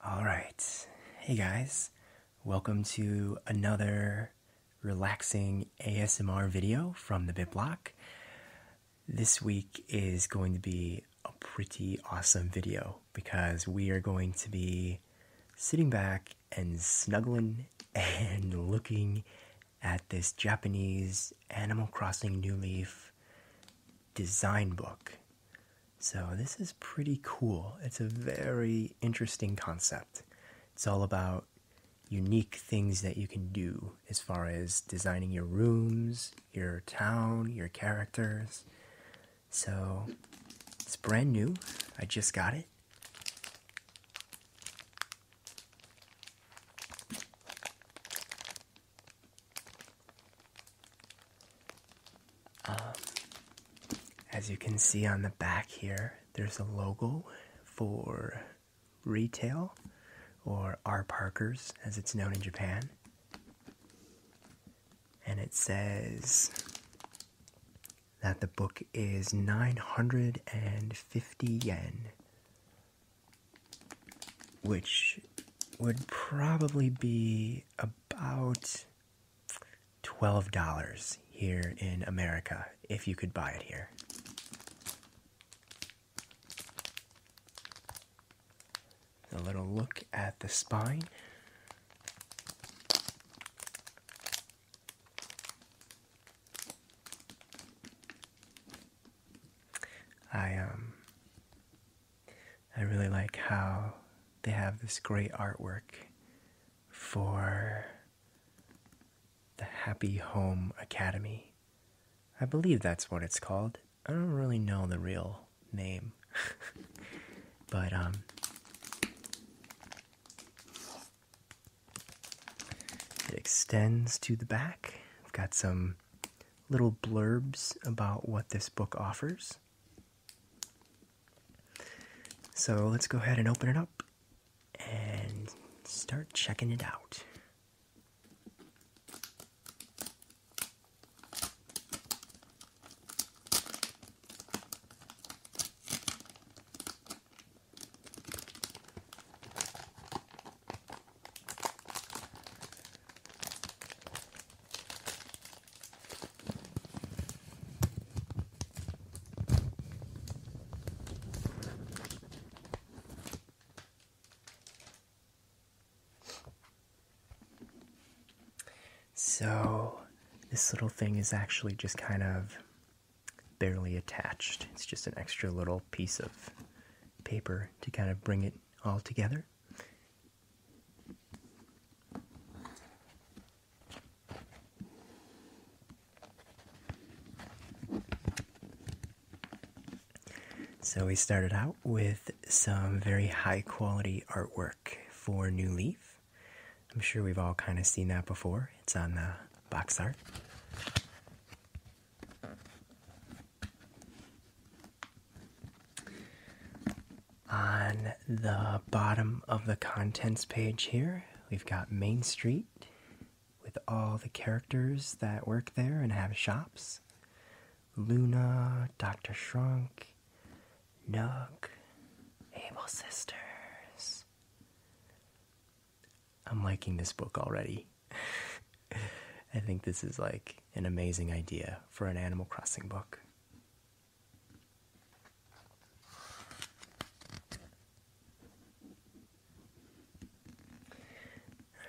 All right. Hey guys. Welcome to another relaxing ASMR video from the Bit Block. This week is going to be a pretty awesome video because we are going to be sitting back and snuggling and looking at this Japanese Animal Crossing New Leaf design book. So, this is pretty cool. It's a very interesting concept. It's all about unique things that you can do as far as designing your rooms, your town, your characters. So, it's brand new. I just got it. Um, as you can see on the back here, there's a logo for retail or R Parkers as it's known in Japan. And it says that the book is 950 yen which would probably be about $12 here in America if you could buy it here. A little look at the spine. I um I really like how they have this great artwork for the Happy Home Academy. I believe that's what it's called. I don't really know the real name. but um it extends to the back. I've got some little blurbs about what this book offers. So let's go ahead and open it up and start checking it out. So, this little thing is actually just kind of barely attached. It's just an extra little piece of paper to kind of bring it all together. So we started out with some very high quality artwork for New Leaf. I'm sure we've all kind of seen that before. It's on the box art. On the bottom of the contents page here, we've got Main Street with all the characters that work there and have shops Luna, Dr. Shrunk, Nook, Able Sisters. I'm liking this book already. I think this is like an amazing idea for an Animal Crossing book.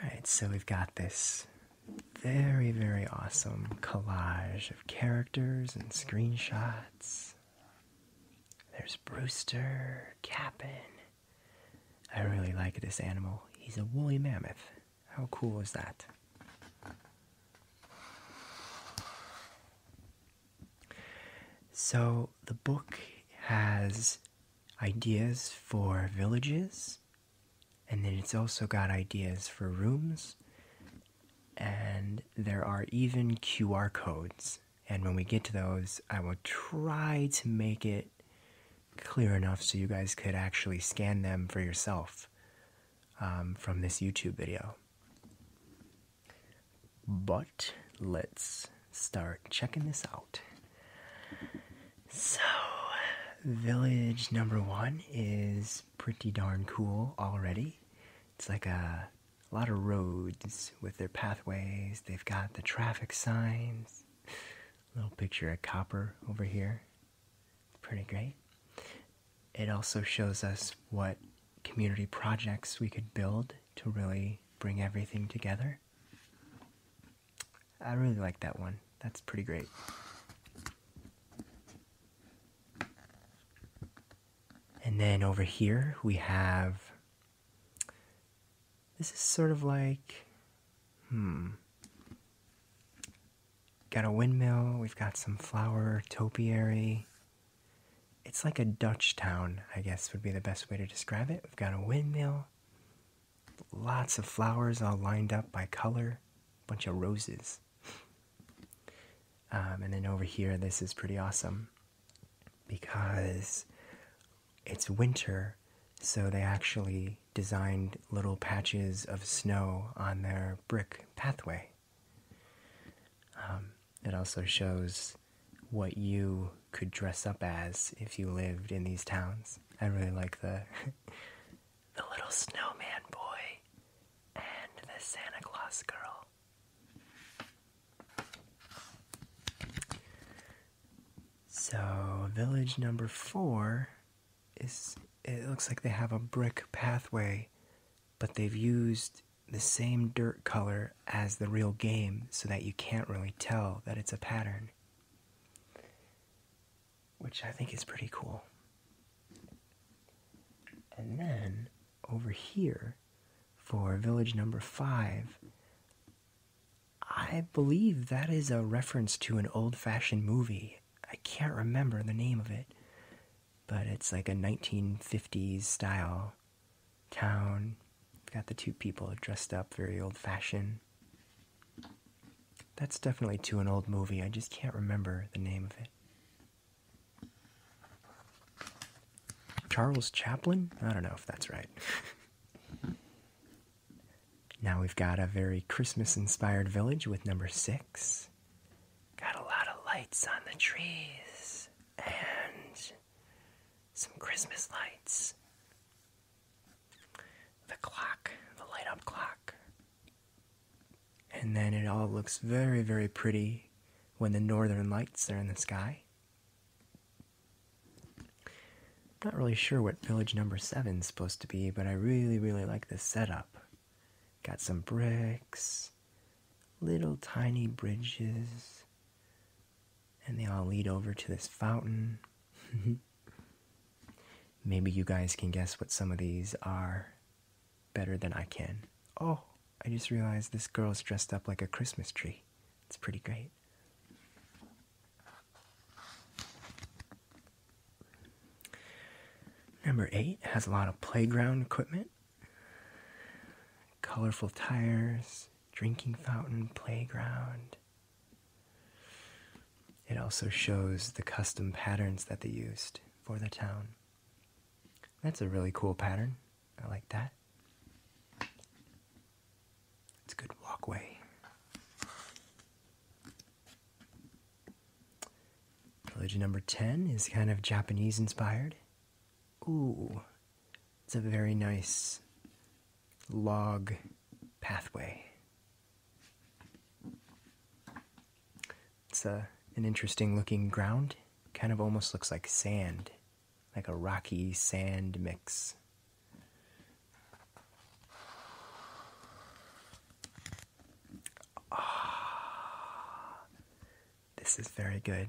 Alright, so we've got this very, very awesome collage of characters and screenshots. There's Brewster, Cap'n, I really like this animal. He's a woolly mammoth. How cool is that? So, the book has ideas for villages, and then it's also got ideas for rooms, and there are even QR codes and when we get to those, I will try to make it clear enough so you guys could actually scan them for yourself um, from this YouTube video. But let's start checking this out. So, village number one is pretty darn cool already. It's like a a lot of roads with their pathways. They've got the traffic signs. Little picture of copper over here. Pretty great. It also shows us what community projects we could build to really bring everything together. I really like that one. That's pretty great. And then over here we have this is sort of like, hmm. Got a windmill, we've got some flower topiary. It's like a Dutch town, I guess would be the best way to describe it. We've got a windmill, lots of flowers all lined up by color, bunch of roses. Um, and then over here, this is pretty awesome because it's winter, so they actually designed little patches of snow on their brick pathway. Um, it also shows what you could dress up as if you lived in these towns. I really like the the little snowman boy and the Santa Claus girl. So, village number four is it looks like they have a brick pathway, but they've used the same dirt color as the real game so that you can't really tell that it's a pattern, which I think is pretty cool. And then over here, for village number five. I believe that is a reference to an old fashioned movie. I can't remember the name of it, but it's like a 1950s style town. Got the two people dressed up very old fashioned. That's definitely to an old movie. I just can't remember the name of it. Charles Chaplin? I don't know if that's right. now we've got a very Christmas inspired village with number six. Got a lot of lights on the trees and some Christmas lights. The clock, the light up clock. And then it all looks very, very pretty when the northern lights are in the sky. Not really sure what village number seven is supposed to be, but I really, really like this setup. Got some bricks, little tiny bridges, and they all lead over to this fountain. Maybe you guys can guess what some of these are better than I can. Oh, I just realized this girl's dressed up like a Christmas tree. It's pretty great. Number eight has a lot of playground equipment colorful tires, drinking fountain, playground. It also shows the custom patterns that they used for the town. That's a really cool pattern. I like that. It's a good walkway. Village number 10 is kind of Japanese inspired. Ooh, it's a very nice log pathway. It's a, uh, an interesting looking ground. Kind of almost looks like sand like a rocky sand mix. Ah, this is very good.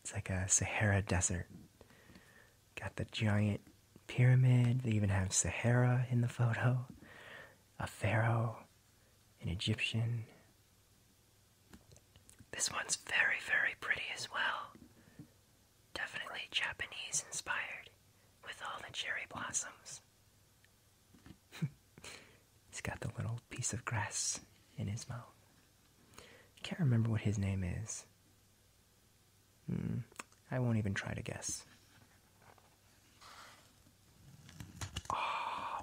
It's like a Sahara desert. Got the giant pyramid. They even have Sahara in the photo, a pharaoh, an Egyptian, this one's very, very pretty as well. Definitely Japanese inspired with all the cherry blossoms. He's got the little piece of grass in his mouth. can't remember what his name is. Hmm, I won't even try to guess. Oh,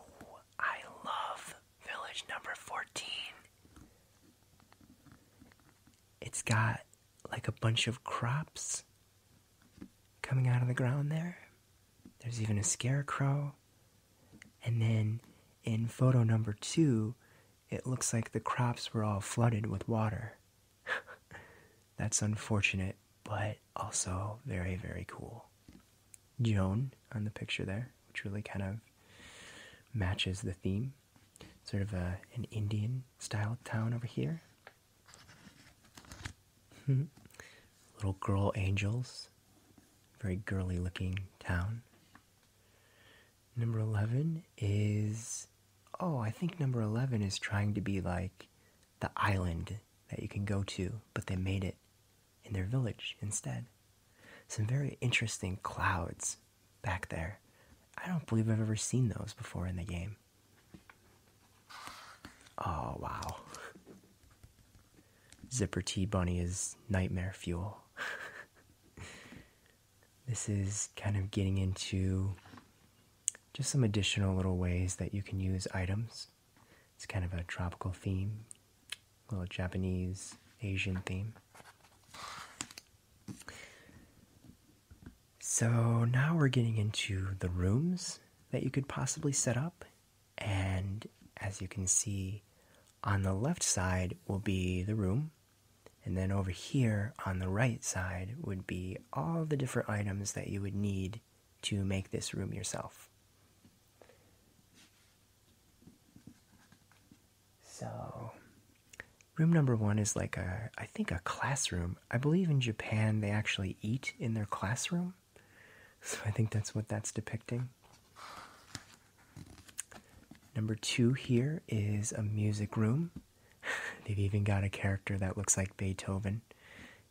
I love village number 14. It's got like a bunch of crops coming out of the ground there. There's even a scarecrow. And then in photo number two, it looks like the crops were all flooded with water. That's unfortunate, but also very, very cool. Joan on the picture there which really kind of matches the theme. Sort of a, an Indian style town over here. Hmm. Little girl angels. Very girly looking town. Number 11 is. Oh, I think number 11 is trying to be like the island that you can go to, but they made it in their village instead. Some very interesting clouds back there. I don't believe I've ever seen those before in the game. Oh, wow. Zipper T Bunny is nightmare fuel. this is kind of getting into just some additional little ways that you can use items. It's kind of a tropical theme little Japanese Asian theme. So now we're getting into the rooms that you could possibly set up. And as you can see, on the left side will be the room. And then over here on the right side would be all the different items that you would need to make this room yourself. So, room number one is like a, I think, a classroom. I believe in Japan they actually eat in their classroom. So, I think that's what that's depicting. Number two here is a music room. They've even got a character that looks like Beethoven.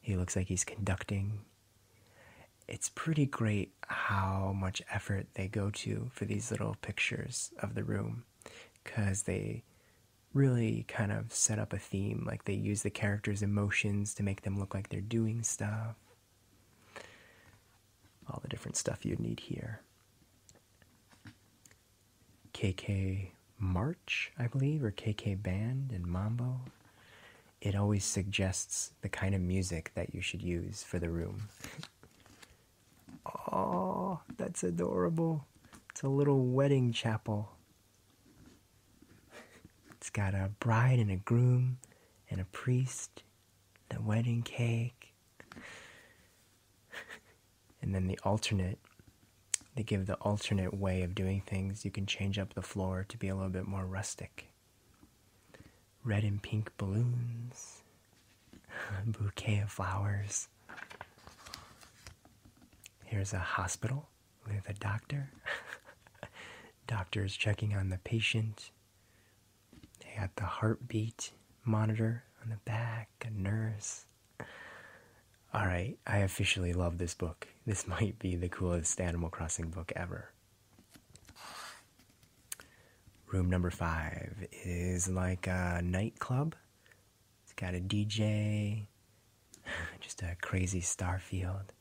He looks like he's conducting it's pretty great how much effort they go to for these little pictures of the room because they really kind of set up a theme. Like they use the characters' emotions to make them look like they're doing stuff. All the different stuff you'd need here. KK March, I believe, or KK Band and Mambo. It always suggests the kind of music that you should use for the room. Oh, that's adorable. It's a little wedding chapel. It's got a bride and a groom and a priest, the wedding cake, and then the alternate. They give the alternate way of doing things. You can change up the floor to be a little bit more rustic red and pink balloons, bouquet of flowers. Here's a hospital with a doctor. doctor is checking on the patient. They got the heartbeat monitor on the back, a nurse. All right, I officially love this book. This might be the coolest Animal Crossing book ever. Room number five is like a nightclub. It's got a DJ, just a crazy star field.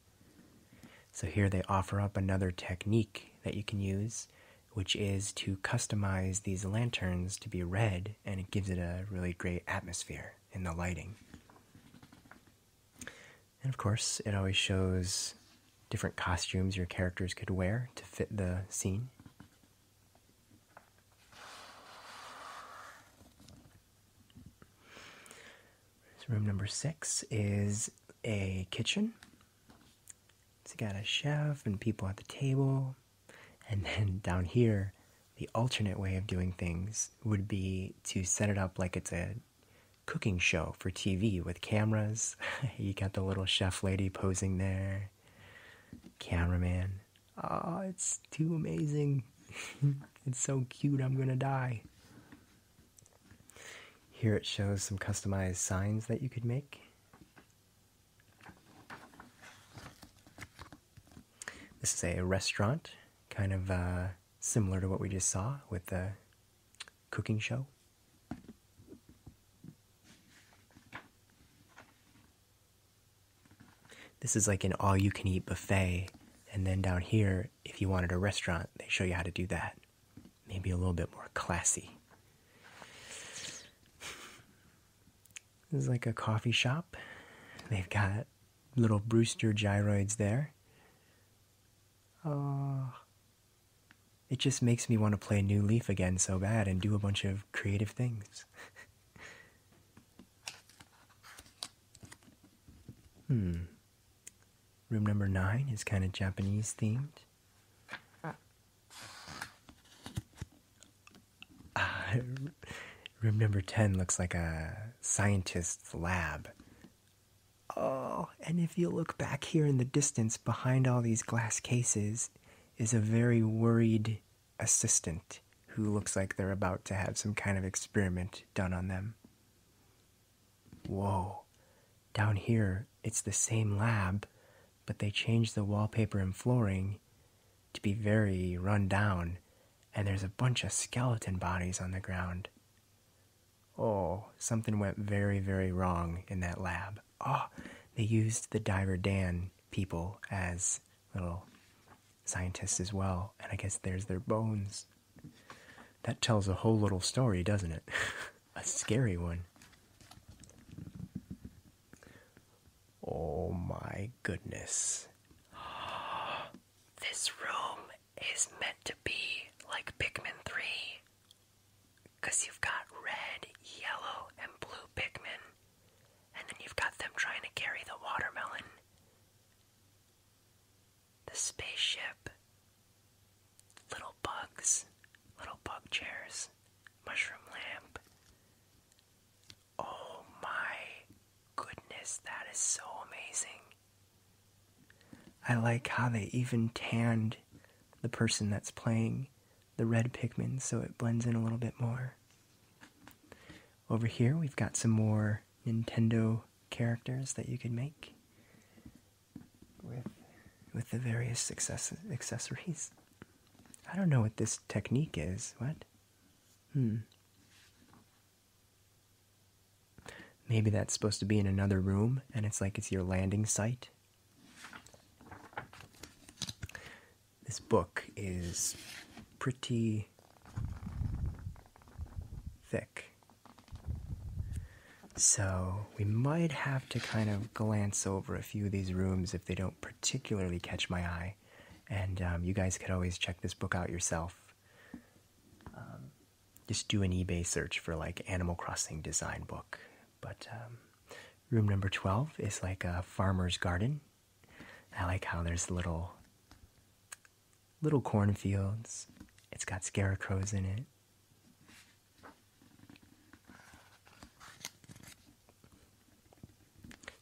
So here they offer up another technique that you can use, which is to customize these lanterns to be red, and it gives it a really great atmosphere in the lighting. And of course, it always shows different costumes your characters could wear to fit the scene. room number six is a kitchen. It's got a chef and people at the table. And then down here, the alternate way of doing things would be to set it up like it's a cooking show for TV with cameras. you got the little chef lady posing there, cameraman. Oh, it's too amazing. it's so cute, I'm gonna die. Here it shows some customized signs that you could make. This is a restaurant, kind of uh, similar to what we just saw with the cooking show. This is like an all you can eat buffet. And then down here, if you wanted a restaurant, they show you how to do that. Maybe a little bit more classy. This is like a coffee shop. They've got little Brewster gyroids there. Oh, it just makes me want to play New Leaf again so bad and do a bunch of creative things. hmm. Room number nine is kind of Japanese themed. Uh, room number 10 looks like a scientist's lab. Oh, and if you look back here in the distance behind all these glass cases is a very worried assistant who looks like they're about to have some kind of experiment done on them. Whoa, down here it's the same lab, but they changed the wallpaper and flooring to be very run down, and there's a bunch of skeleton bodies on the ground. Oh, something went very, very wrong in that lab. Oh, they used the Diver Dan people as little scientists as well, and I guess there's their bones. That tells a whole little story, doesn't it? a scary one. Oh my goodness. This room is meant to be like Pikmin 3. Because you've got red, yellow, and blue Pikmin, and then you've got them trying to carry the watermelon, the spaceship, little bugs, little bug chairs, mushroom lamp. Oh my goodness, that is so amazing. I like how they even tanned the person that's playing the red Pikmin, so it blends in a little bit more. Over here, we've got some more Nintendo characters that you can make with the various accessories. I don't know what this technique is. What? Hmm. Maybe that's supposed to be in another room and it's like it's your landing site. This book is pretty thick. So, we might have to kind of glance over a few of these rooms if they don't particularly catch my eye. And um, you guys could always check this book out yourself. Um, just do an eBay search for like Animal Crossing design book. But um, room number 12 is like a farmer's garden. I like how there's little little cornfields. It's got scarecrows in it.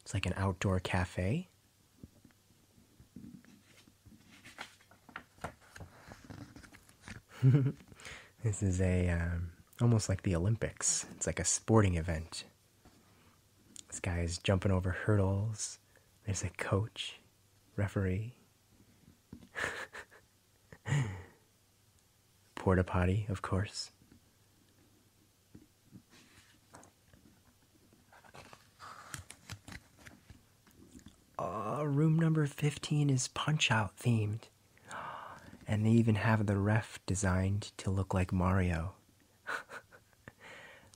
It's like an outdoor cafe. this is a um, almost like the Olympics. It's like a sporting event. This guy is jumping over hurdles. There's a coach, referee, porta potty, of course. Uh, room number 15 is Punch Out themed. And they even have the ref designed to look like Mario.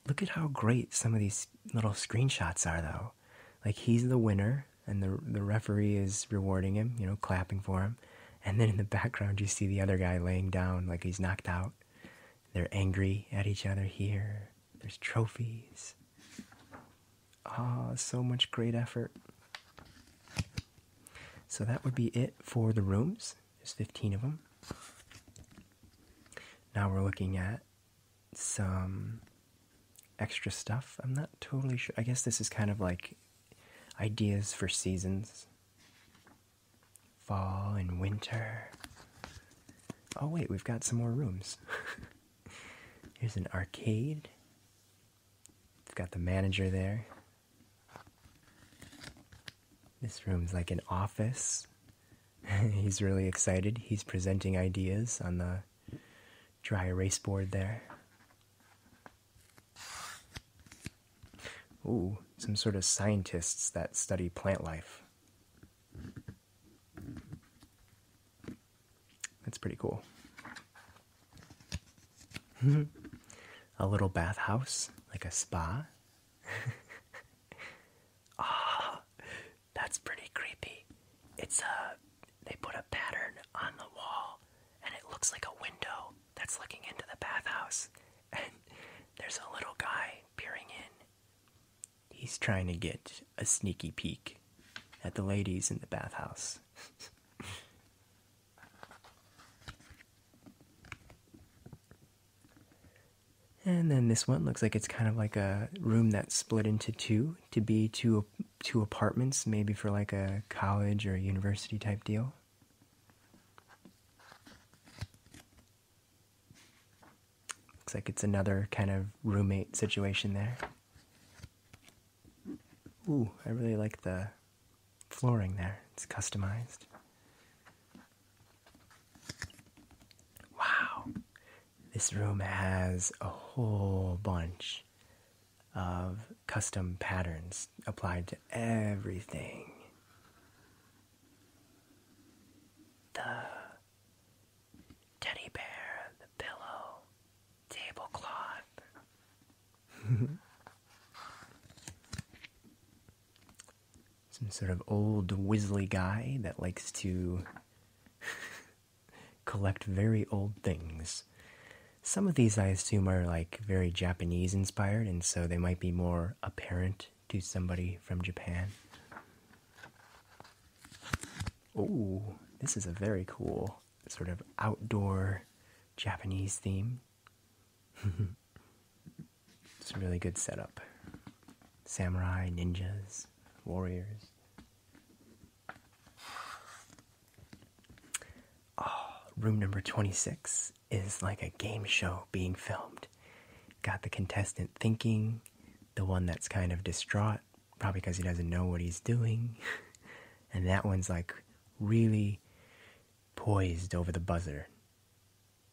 look at how great some of these little screenshots are, though. Like, he's the winner, and the, the referee is rewarding him, you know, clapping for him. And then in the background, you see the other guy laying down like he's knocked out. They're angry at each other here. There's trophies. Ah, so much great effort. So that would be it for the rooms. There's 15 of them. Now we're looking at some extra stuff. I'm not totally sure. I guess this is kind of like ideas for seasons fall and winter. Oh, wait, we've got some more rooms. Here's an arcade. It's got the manager there. This room's like an office. He's really excited. He's presenting ideas on the dry erase board there. Ooh, some sort of scientists that study plant life. That's pretty cool. a little bathhouse, like a spa. Ah, that's pretty creepy. It's a uh, they put a pattern on the wall and it looks like a window that's looking into the bathhouse and there's a little guy peering in he's trying to get a sneaky peek at the ladies in the bathhouse. and then this one looks like it's kind of like a room that's split into two to be two two apartments, maybe for like a college or university type deal. Looks like it's another kind of roommate situation there. Ooh, I really like the flooring there. It's customized. Wow. This room has a whole bunch of custom patterns applied to everything. The teddy bear, the pillow, tablecloth. Some sort of old wizzly guy that likes to collect very old things. Some of these, I assume, are like very Japanese inspired, and so they might be more apparent to somebody from Japan. Oh, this is a very cool sort of outdoor Japanese theme. it's a really good setup. Samurai, ninjas, warriors. Oh, room number 26 is like a game show being filmed. Got the contestant thinking, the one that's kind of distraught probably because he doesn't know what he's doing. and that one's like really poised over the buzzer.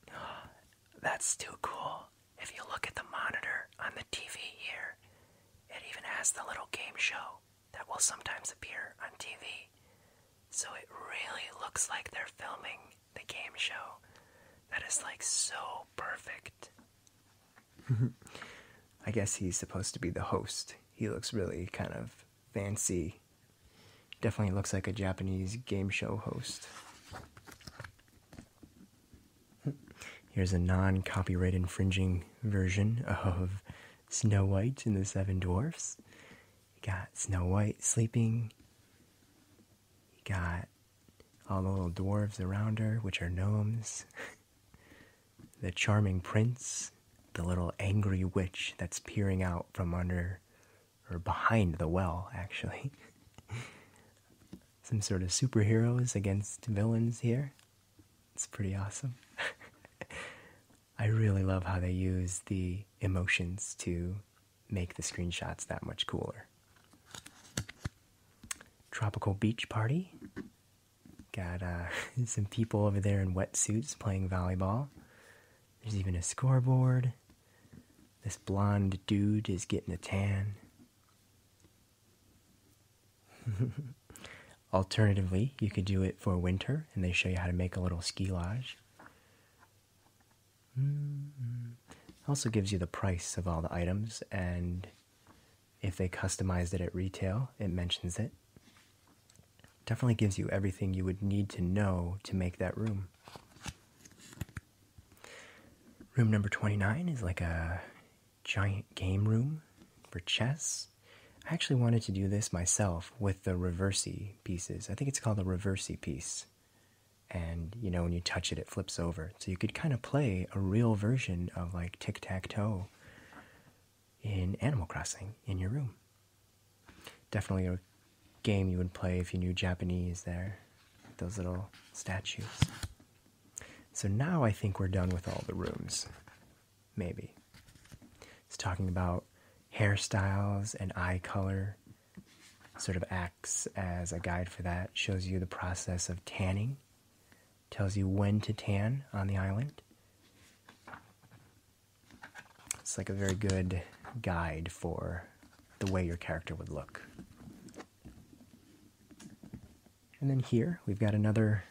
that's too cool. If you look at the monitor on the TV here, it even has the little game show that will sometimes appear on TV. So it really looks like they're filming the game show. That is like so perfect. I guess he's supposed to be the host. He looks really kind of fancy. Definitely looks like a Japanese game show host. Here's a non copyright infringing version of Snow White and the Seven Dwarfs. You got Snow White sleeping. You got all the little dwarves around her, which are gnomes, the charming prince, the little angry witch that's peering out from under or behind the well, actually. Some sort of superheroes against villains here. It's pretty awesome. I really love how they use the emotions to make the screenshots that much cooler. Tropical beach party. Got uh, some people over there in wetsuits playing volleyball. There's even a scoreboard. This blonde dude is getting a tan. Alternatively, you could do it for winter and they show you how to make a little ski lodge. Mm-hmm. Also gives you the price of all the items and if they customized it at retail, it mentions it. Definitely gives you everything you would need to know to make that room. Room number 29 is like a giant game room for chess. I actually wanted to do this myself with the reversi pieces. I think it's called the reversi piece. And you know, when you touch it, it flips over so you could kind of play a real version of like tic tac toe in Animal Crossing in your room. Definitely a game you would play if you knew Japanese there, those little statues. So now I think we're done with all the rooms. Maybe. It's talking about hairstyles and eye color, sort of act as a guide for that, shows you the process of tanning, tells you when to tan on the island. It's like a very good guide for the way your character would look. And then here we've got another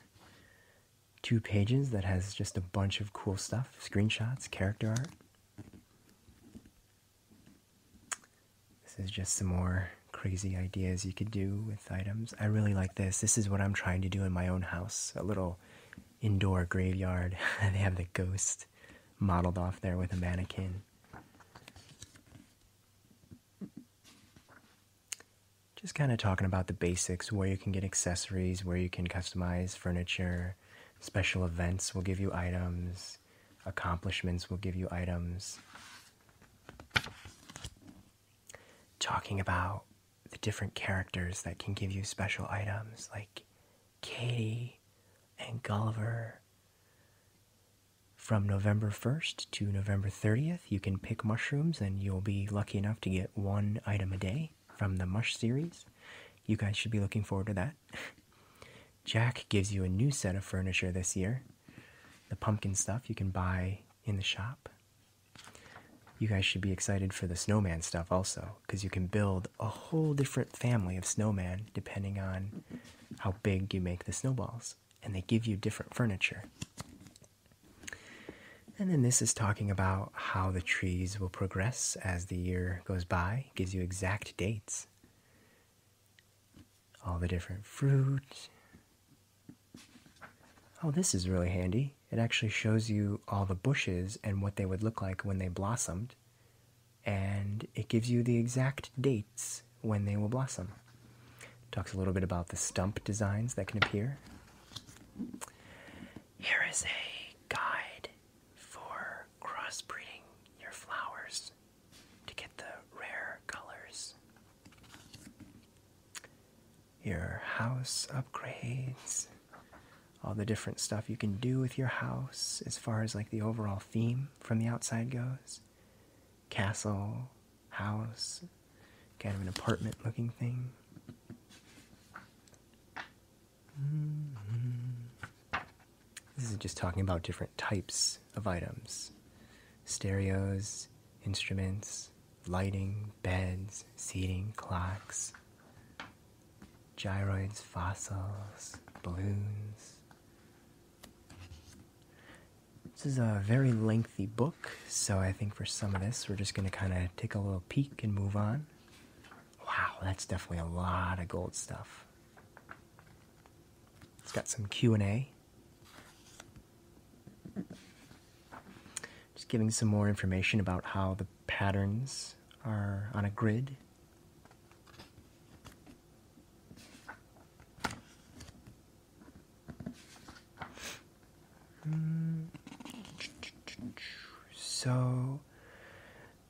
two pages that has just a bunch of cool stuff screenshots, character art. This is just some more crazy ideas you could do with items. I really like this. This is what I'm trying to do in my own house a little indoor graveyard. they have the ghost modeled off there with a mannequin. Just kind of talking about the basics where you can get accessories, where you can customize furniture, special events will give you items, accomplishments will give you items talking about the different characters that can give you special items like Katie and Gulliver. From November 1st to November 30th, you can pick mushrooms and you'll be lucky enough to get one item a day from the Mush series. You guys should be looking forward to that. Jack gives you a new set of furniture this year the pumpkin stuff you can buy in the shop. You guys should be excited for the snowman stuff also, because you can build a whole different family of snowman depending on how big you make the snowballs, and they give you different furniture. And then this is talking about how the trees will progress as the year goes by, gives you exact dates all the different fruits. Oh, this is really handy. It actually shows you all the bushes and what they would look like when they blossomed, and it gives you the exact dates when they will blossom. talks a little bit about the stump designs that can appear. Here is a guide for crossbreeding your flowers to get the rare colors. Your house upgrades, all the different stuff you can do with your house as far as like the overall theme from the outside goes. Castle, house, kind of an apartment looking thing. Mm-hmm. This is just talking about different types of items stereos, instruments, lighting, beds, seating, clocks, gyroids, fossils, balloons. This is a very lengthy book, so I think for some of this, we're just going to kind of take a little peek and move on. Wow, that's definitely a lot of gold stuff. It's got some Q&A just giving some more information about how the patterns are on a grid. So,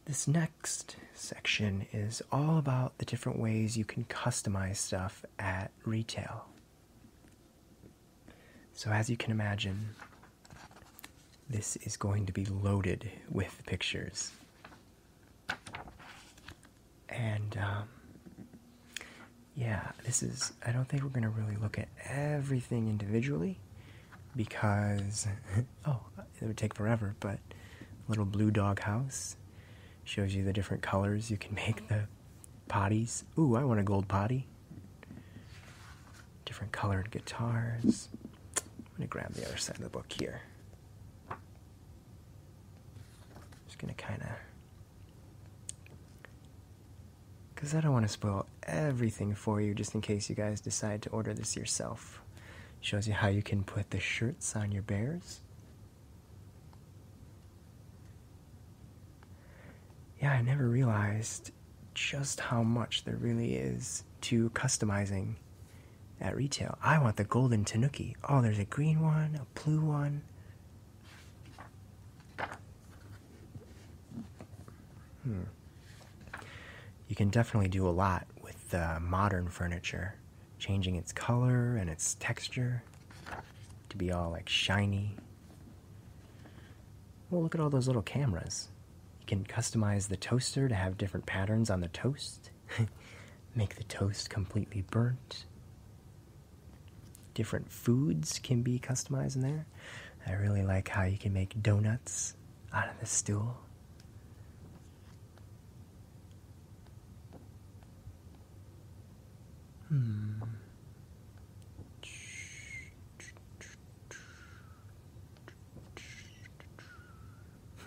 this next section is all about the different ways you can customize stuff at retail. So, as you can imagine, this is going to be loaded with pictures. And, um, yeah, this is, I don't think we're going to really look at everything individually because, oh, it would take forever, but little blue dog house Shows you the different colors you can make the potties. Ooh, I want a gold potty. Different colored guitars. I'm going to grab the other side of the book here. Just going to kind of. Because I don't want to spoil everything for you just in case you guys decide to order this yourself. Shows you how you can put the shirts on your bears. Yeah, I never realized just how much there really is to customizing at retail. I want the golden tanuki. Oh, there's a green one, a blue one. Hmm. You can definitely do a lot with uh, modern furniture changing its color and its texture to be all like shiny. Well, look at all those little cameras. You can customize the toaster to have different patterns on the toast, make the toast completely burnt. Different foods can be customized in there. I really like how you can make donuts out of the stool. Hmm.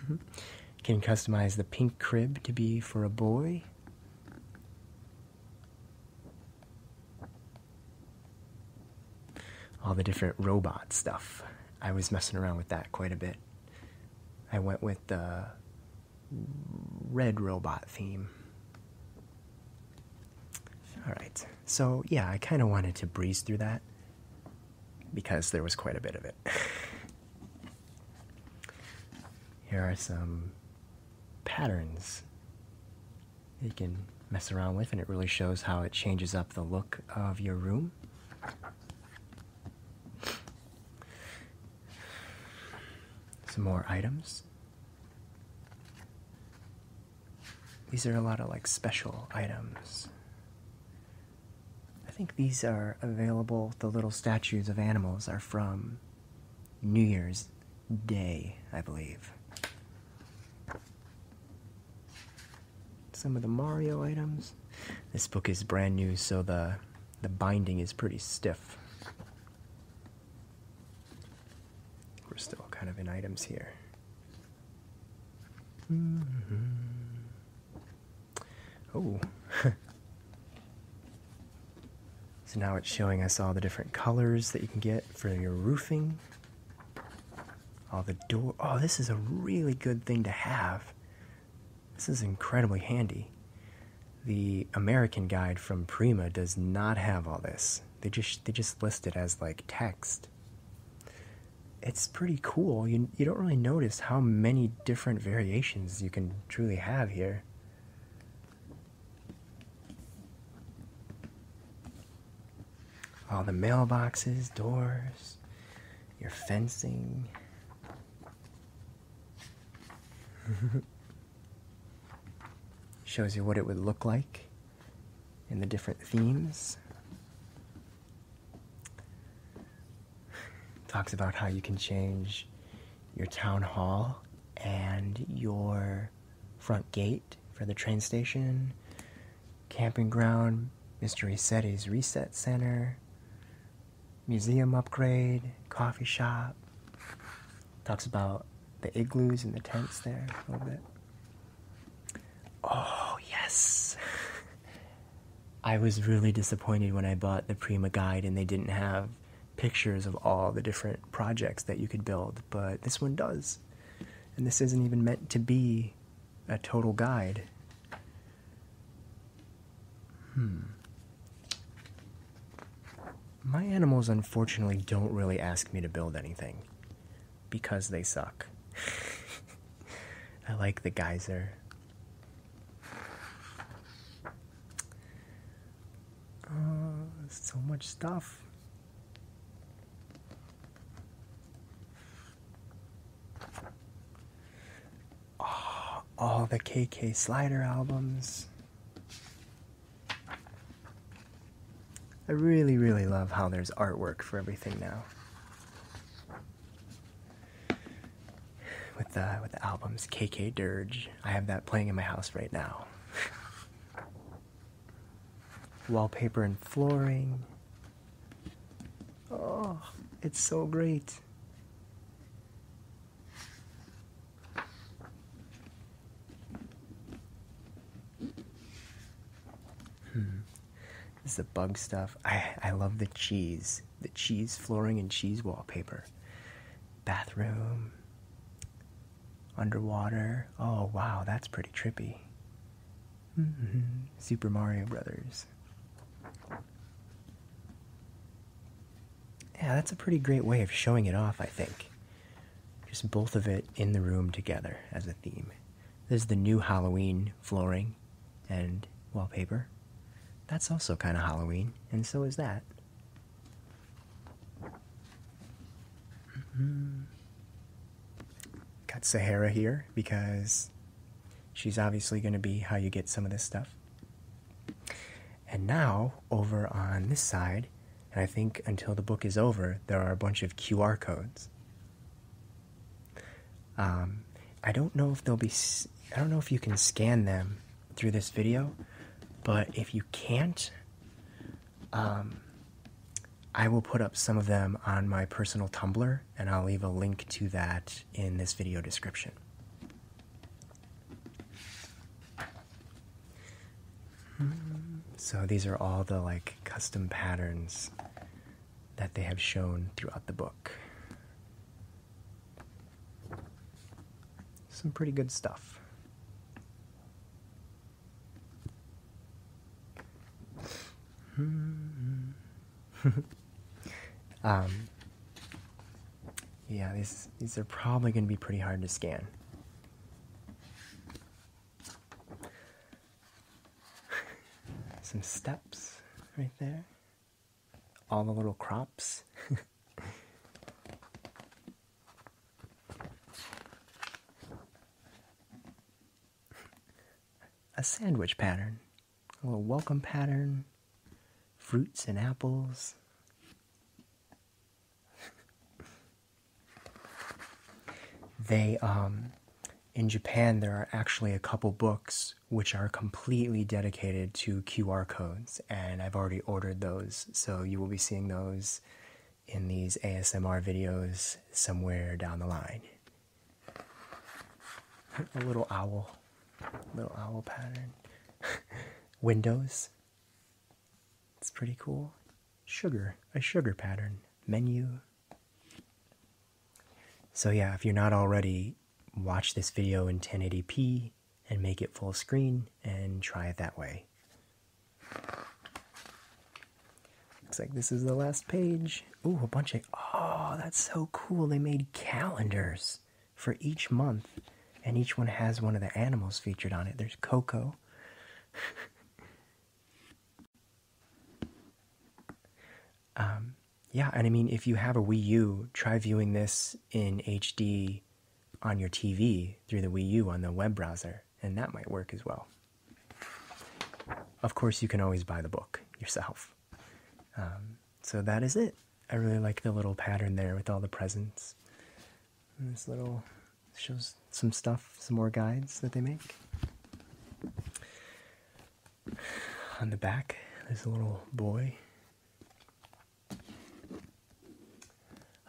Can customize the pink crib to be for a boy. All the different robot stuff. I was messing around with that quite a bit. I went with the red robot theme. All right, so yeah, I kind of wanted to breeze through that because there was quite a bit of it. Here are some patterns you can mess around with, and it really shows how it changes up the look of your room. Some more items. These are a lot of like special items. I think these are available, the little statues of animals are from New Year's Day, I believe. Some of the Mario items this book is brand new, so the the binding is pretty stiff. We're still kind of in items here. Oh. so now it's showing us all the different colors that you can get for your roofing. All the door. Oh, this is a really good thing to have. This is incredibly handy. The American guide from Prima does not have all this. They just they just list it as like text. It's pretty cool. You you don't really notice how many different variations you can truly have here. All the mailboxes, doors, your fencing, Shows you what it would look like in the different themes. Talks about how you can change your town hall and your front gate for the train station, camping ground, Mystery SETI's Reset Center, museum upgrade, coffee shop. Talks about the igloos and the tents there a little bit. Oh, yes! I was really disappointed when I bought the Prima guide and they didn't have pictures of all the different projects that you could build, but this one does. And this isn't even meant to be a total guide. Hmm. My animals unfortunately don't really ask me to build anything because they suck. I like the geyser. Uh, so much stuff. Ah, all the KK Slider albums. I really, really love how there's artwork for everything now. With the with the albums KK Dirge, I have that playing in my house right now. Wallpaper and flooring, Oh, it's so great. Hmm. This is the bug stuff. I, I love the cheese. The cheese flooring and cheese wallpaper. Bathroom. Underwater. Oh, wow, that's pretty trippy. Mm -hmm. Super Mario Brothers. Yeah, that's a pretty great way of showing it off, I think. Just both of it in the room together as a theme. There's the new Halloween flooring and wallpaper. That's also kind of Halloween, and so is that. Mm-hmm. Got Sahara here because She's obviously going to be how you get some of this stuff. And now, over on this side, and I think until the book is over, there are a bunch of QR codes. Um, I don't know if they'll be, I don't know if you can scan them through this video, but if you can't, um, I will put up some of them on my personal Tumblr and I'll leave a link to that in this video description. So these are all the like custom patterns that they have shown throughout the book. Some pretty good stuff. Hmm. Um, yeah, these, these are probably going to be pretty hard to scan. Some steps right there. All the little crops. A sandwich pattern a welcome pattern, fruits and apples. they um in Japan there are actually a couple books which are completely dedicated to QR codes and I've already ordered those so you will be seeing those in these ASMR videos somewhere down the line a little owl, little owl pattern. Windows. It's pretty cool. Sugar, a sugar pattern. Menu. So, yeah, if you're not already, watch this video in 1080p and make it full screen and try it that way. Looks like this is the last page. Ooh, a bunch of oh, that's so cool. They made calendars for each month, and each one has one of the animals featured on it. There's Coco. um, yeah, and I mean, if you have a Wii U, try viewing this in HD on your TV through the Wii U on the web browser, and that might work as well. Of course, you can always buy the book yourself. Um, so that is it. I really like the little pattern there with all the presents. this little shows some stuff, some more guides that they make. On the back, there's a little boy.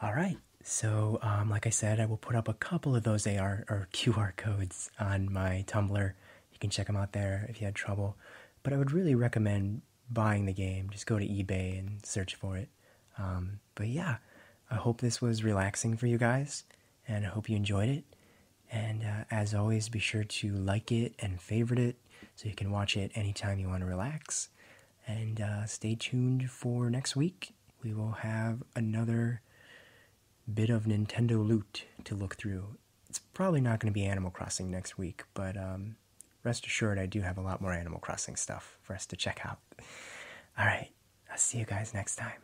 All right. So, um, like I said, I will put up a couple of those AR or QR codes on my Tumblr you can check them out there if you had trouble. But I would really recommend buying the game. Just go to eBay and search for it. Um, but yeah, I hope this was relaxing for you guys, and I hope you enjoyed it. And uh, as always, be sure to like it and favorite it so you can watch it anytime you want to relax. And uh, stay tuned for next week. We will have another bit of Nintendo loot to look through it's probably not going to be Animal Crossing next week, but um, rest assured, I do have a lot more Animal Crossing stuff for us to check out. All right, I'll see you guys next time.